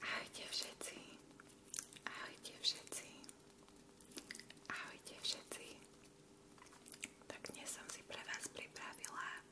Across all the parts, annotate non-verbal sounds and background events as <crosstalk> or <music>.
Ahojte všetci. Ahojte všetci. Ahojte všetci. Tak dnes som si pre vás pripravila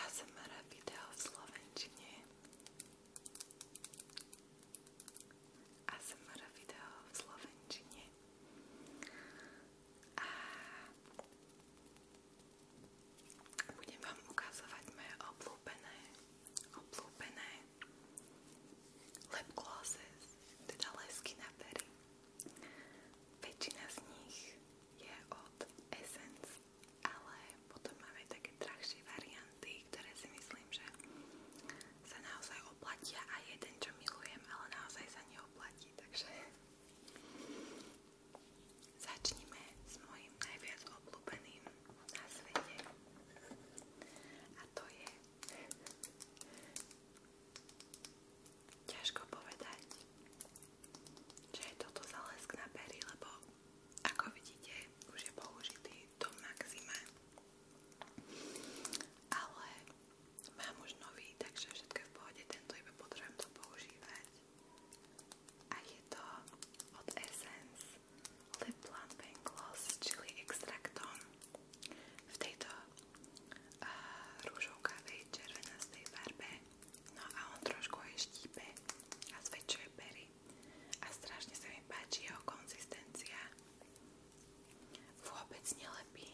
ASMR video v slovenčine. ASMR video v slovenčine a budem vám ukazovať moje obľúbené, obľúbené lip glosses, teda lesky na pery. Väčšina z nich je od Essence, ale potom máme také drahšie varianty, ktoré si myslím, že sa naozaj oplatia a jeden, čo milujem, ale naozaj sa neoplatí, takže začnime s mojim najviac obľúbeným na svete a to je ťažko povedať, že je toto zálesk na pery, lebo ako vidíte, už je použitý do maxima. Ale mám už nový, takže všetko je v pohode, tento iba potrebujem to používať. A je to od Essence Lip Plump and Gloss s chili extraktom. V tejto uh, rúžovkavej červenastej farbe. No a on trošku aj štípe a zväčšuje pery. A strašne sa mi páči jeho konzistencia. Vôbec nelepí.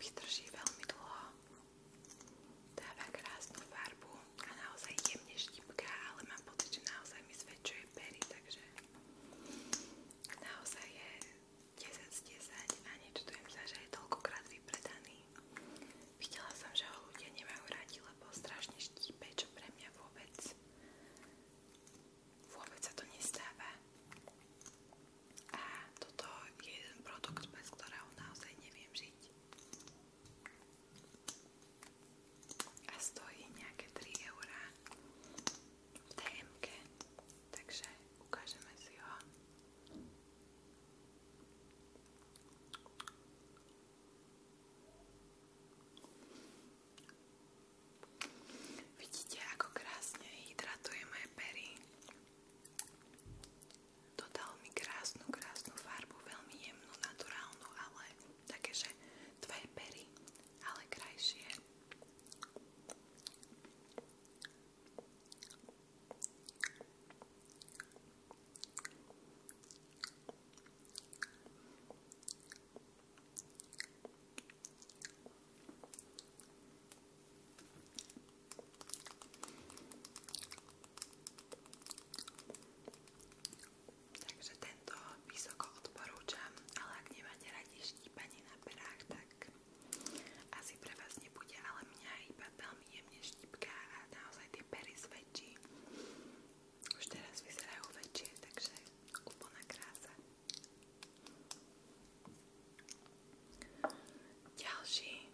Vydrží veľmi dlho. Dáva krásnu farbu a naozaj jemne štipká, ale mám pocit, že naozaj mi zväčšuje pery, takže naozaj je 10 z 10 a nečudujem sa, že je toľkokrát vypredaný. Videla som, že ho ľudia nemajú radi, lebo strašne štípe, čo pre mňa vôbec vôbec sa to nestáva. A toto je jeden produkt, bez ktorého naozaj neviem žiť. A stojí nejaké 3 eurá v TMK, takže ukážeme si ho. Vidíte, ako krásne hydratuje moje pery. Dodal mi krásnu, krásnu farbu, veľmi jemnú, naturálnu, ale takéže tvoje pery, ale krajšie. Takže tento vysoko odporúčam, ale ak nemáte radi štípanie na perách, tak asi pre vás nebude, ale mňa iba veľmi jemne štípka a naozaj tie ich pery zväčší. Už teraz vyzerajú väčšie, takže úplná krása. Ďalší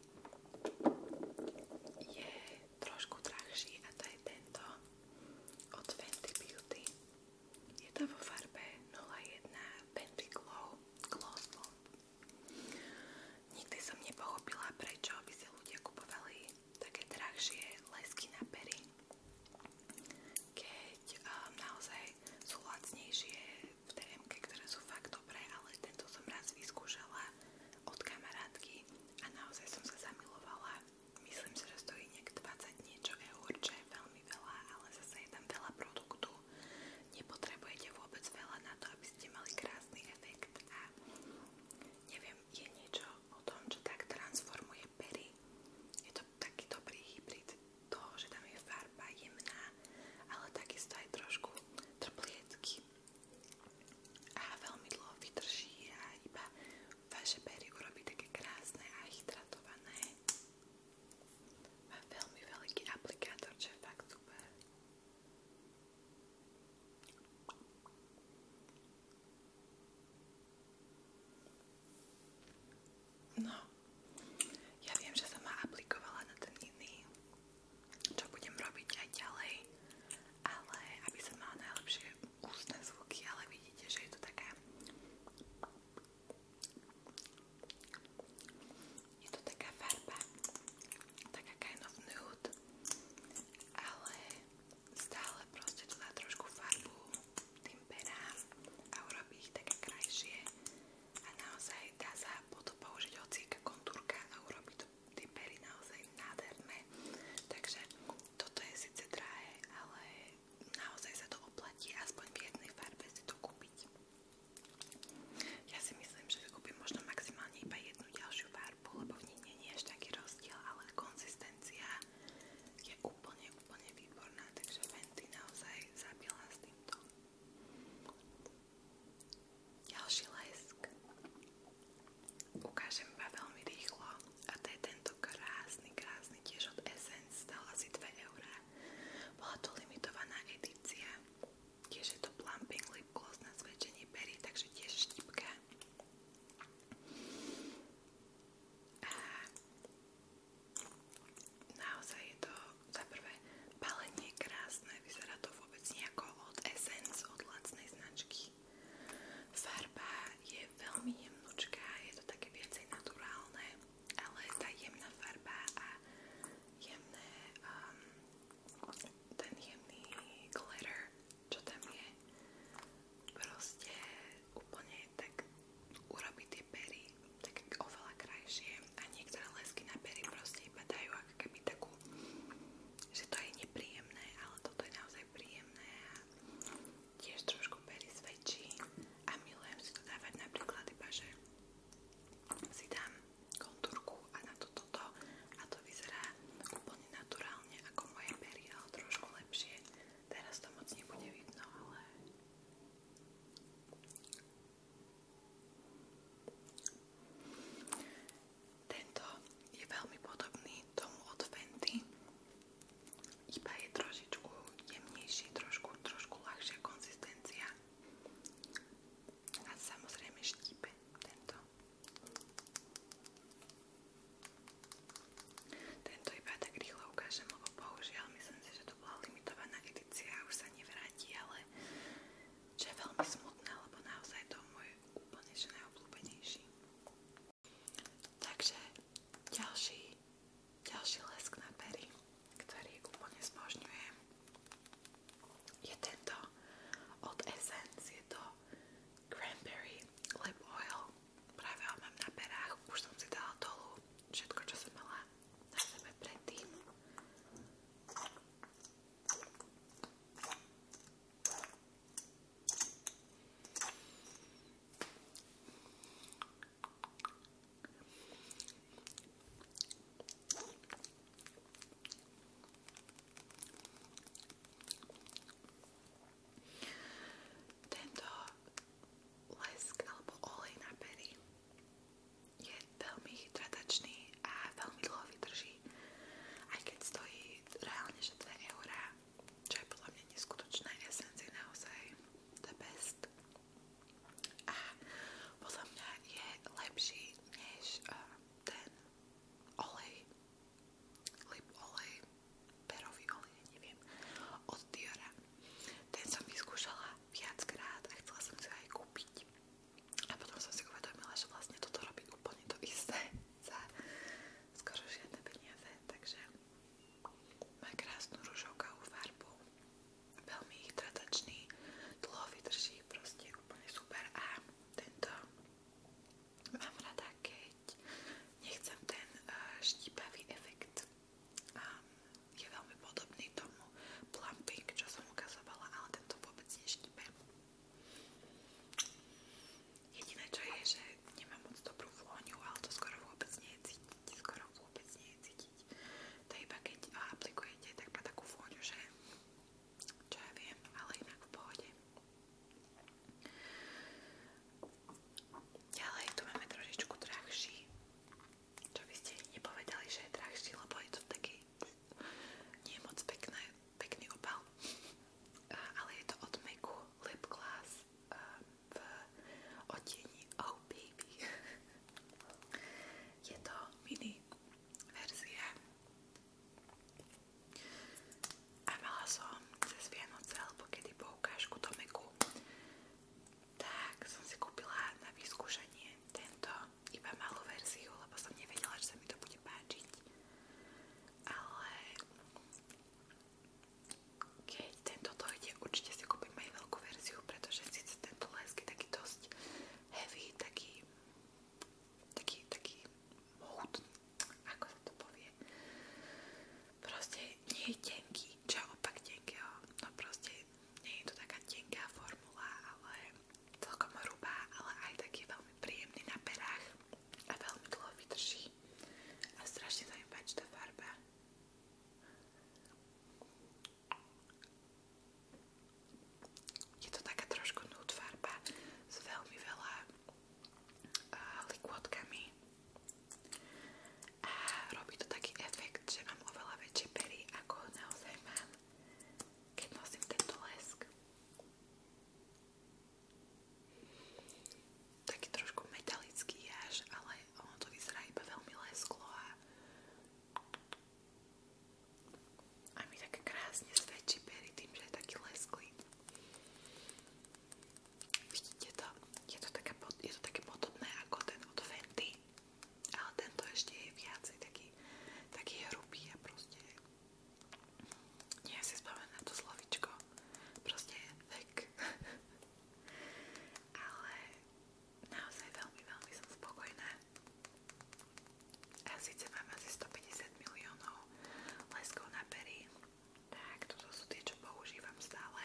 je trošku drahší a to je tento od Fenty Beauty. Je to vo farbe 01 Fenty Glow Gloss Bomb Nikdy som nepochopila, prečo by si ľudia kupovali také drahšie lesky na pery, keď um, naozaj sú lacnejšie v TMK, ktoré sú fakt dobré, ale tento som raz vyskúšala od kamarátky a naozaj som sa zamilovala. Myslím si, že stojí nejak 20 niečo eur, čo je veľmi veľa, ale zase je tam veľa produktu, nepotrebujete vôbec veľa na to, aby ste mali krásny efekt a neviem, je niečo o tom, čo tak transformuje pery. Je to taký dobrý hybrid toho, že tam je farba jemná, ale takisto aj trošku trpliecky a veľmi dlho vydrží a iba vaše pery urobí také krásne a hydratované. Má veľmi veľký aplikátor, čo je fakt super. No, ja viem, že som ma aplikovala na ten iný, čo budem robiť aj ďalej, ale aby som mala najlepšie ústne zvuky, ale vidíte, že je to taká je to taká farba, taká kind of nude, ale stále proste to dá trošku farbu tým perám a urobí ich také krajšie a naozaj dá sa potom použiť hocíka kontúrka a urobí to tie pery naozaj nádherné. Takže toto je síce drahé, ale naozaj sa to oplatí aspoň v jednej farbe si to kúpiť. Ja si myslím, že vykúpim možno maximálne iba jednu ďalšiu farbu, lebo v nej nie je až taký rozdiel, ale konzistencia je úplne, úplne výborná, takže Fenty naozaj zabila s týmto. Ďalší lesk ukážem iba veľmi rýchlo a to je tento krásny, krásny tiež od Essence, stala asi 2 eurá. Bola to limitovaná edícia Tiež je to plumping lip gloss na zväčšenie pery, takže tiež štipka. A naozaj je to za prvé balenie krásne, vyzerá to vôbec nejako od Essence, od lacnej značky. Farba je veľmi jemnúčka, je to také viacej naturálne ale tá jemná farba a jemné, um, ten jemný glitter, čo tam je, proste úplne tak urobí tie pery tak oveľa krajšie a niektoré lesky na pery proste iba dajú ako keby takú, že to je nepríjemné, ale toto je naozaj príjemné a tiež trošku pery svedčí a milujem si to dávať napríklad iba, že si dám kontúrku a na to toto a to vyzerá úplne naturálne ako moje pery, ale trošku lepšie. Teraz to moc nebude vidno, ale... Tento je veľmi podobný tomu od Fenty, iba je trošičku jemnejší, trošku, trošku ľahšia konzistencia. A samozrejme štípe tento. Tento iba tak rýchlo ukážem, lebo bohužiaľ myslím si, že to bola limitovaná edícia a už sa nevráti, ale čo je veľmi smutné, lebo naozaj to je môj úplne že najobľúbenejší. Takže ďalší ďalší lesk na pery, ktorý úplne zbožňujem, je tento od Essence, je to Cranberry Lip Oil. Práve ho mám na perách, už som si dala dolu všetko, čo som mala na sebe predtým. Tento lesk alebo olej na pery je veľmi hydratačný a veľmi dlho vydrží, aj keď stojí reálne že 2 eurá, čo je podľa mňa neskutočné esencie naozaj the best a podľa mňa je lepší než uh, ten olej, lip olej, perový olej, neviem, od Diora. Ten som vyskúšala viackrát a chcela som si ho aj kúpiť. A potom som si uvedomila, že vlastne toto robí úplne to isté <laughs> za skoro žiadne peniaze, takže má krásnu ružovkavú farbu. Veľmi hydratačný, dlho vydrží, proste úplne super. A tento mám rada, keď nechcem ten eh, štípavý efekt. A je veľmi podobný tomu plumping, čo som ukazovala, ale tento vôbec neštípe. Jediné čo je, že nemám moc dobrú vôňu, ale to skoro vôbec nie je cítiť, skoro vôbec nie je cítiť. To iba keď aplikujete, tak má takú vôňu, že čo ja viem, ale inak v pohode. Ďalej tu máme trošičku drahší, čo by ste nepovedali, že je drahší, lebo je to taký nie moc pekné, pekný opal, ale je to od Meku Lip Glass v eh, odtieni Oh Baby. <laughs> Je to mini verzia. A mala som cez Vianoce alebo kedy poukážku do Meku. Tak som si kúpila na vyskúšanie tento iba malú verziu, lebo som nevedela, že sa mi to bude páčiť. Ale keď tento dojde, určite si kúpim aj veľkú verziu, pretože síce tento lesk je taký dosť heavy, taký taký, taký mohutný, ako sa to povie. Proste nie je tenký, čo opak tenkého, no proste nie je to taká tenká formula, ale celkom hrubá, ale aj taký veľmi príjemný na perách a veľmi dlho vydrží a strašne sa mi páči tá farba. Je to taká trošku nude farba s veľmi veľa uh, likôdkami a robí to taký efekt, že mám oveľa väčšie pery ako naozaj mám, keď nosím tento lesk. Taký trošku metalický až, ale ono to vyzerá iba veľmi lesklo a, a mi tak krásne svedčí pery tým, že je taký lesklý. Vidíte to? Je to, také, je to také podobné ako ten od Fenty, ale tento ešte je viacej taký, taký hrubý a proste nie si spomenú na to slovičko, proste vek. <laughs> Ale naozaj veľmi, veľmi som spokojná. A síce mám asi 150 miliónov leskov na pery. Tak, toto sú tie, čo používam stále.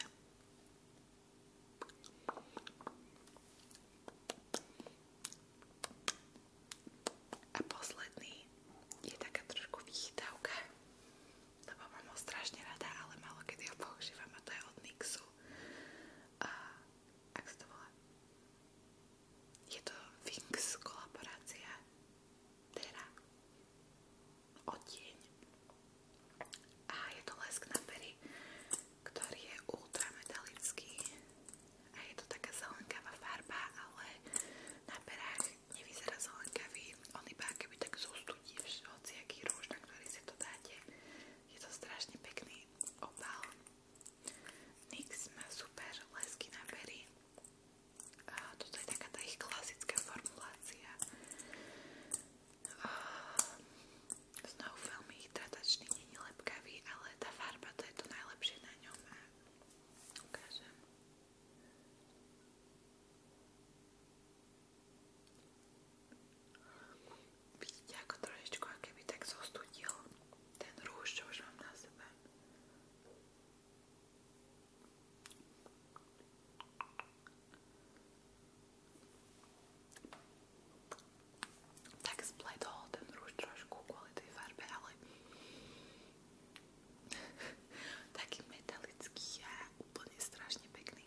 A posledný je taká trošku vychytávka, lebo mám ho strašne rada, ale málo kedy ho používam a to je od Nixu. A ak sa to volá? Je to Winx kolaborácia Terra odtieň a je to lesk na pery, ktorý je ultrametalický a je to taká zelenkavá farba, ale na perách nevyzerá zelenkavý, on iba akoby tak zostudí hociaký rúž, na ktorý si to dáte. Je to strašne pekný opal. NYX má super lesky na pery. A toto je taká tá ich klasická formulácia. A znovu veľmi hydratačný, nie je lepkavý, ale tá farba to je to najlepšie na ňom. Ukážem. Vidíte, ako trošičku, aké by tak zostudil ten rúž, čo už mám na sebe. Tak spletol ten rúž trošku kvôli tej farbe, ale <laughs> Taký metalický a úplne strašne pekný.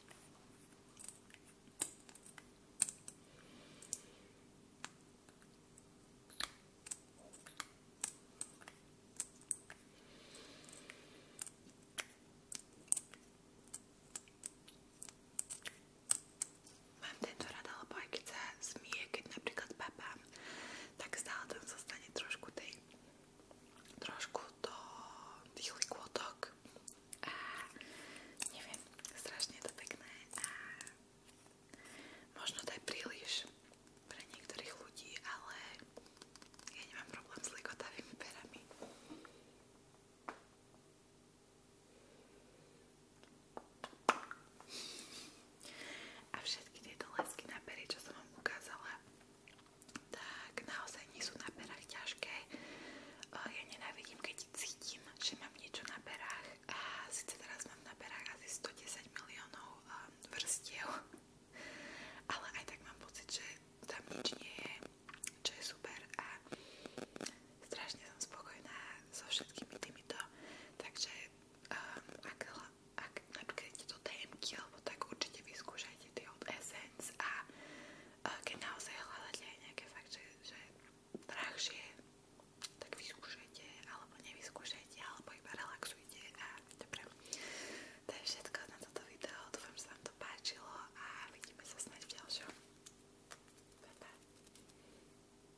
Mám tento rada, lebo aj keď sa smie, keď napríklad papám tak stále tam zostane trošku tej trošku do tých likvotok a neviem, strašne je to pekné a možno to je príliš pre niektorých ľudí, ale ja nemám problém s likotavými perami. A všetky tieto lesky na pery, čo som vám ukázala, tak naozaj nie sú na perách ťažké. Ja nenávidím, keď cítim, že mám niečo na perách. A síce teraz mám na perách asi 110 miliónov um, vrstiev, <laughs> ale aj tak mám pocit, že tam nič nie je, čo je super a strašne som spokojná so všetkými týmito, takže um, ak, ak napríklad idete do TMK alebo tak určite vyskúšajte tie od Essence a uh, keď naozaj hľadáte aj nejaké fakt, že, že drahšie, tak vyskúšajte alebo nevyskúšajte alebo iba relaxujte a dobre. To je všetko na toto video, dúfam, že sa vám to páčilo a vidíme sa snáď v ďalšom. Bye, bye.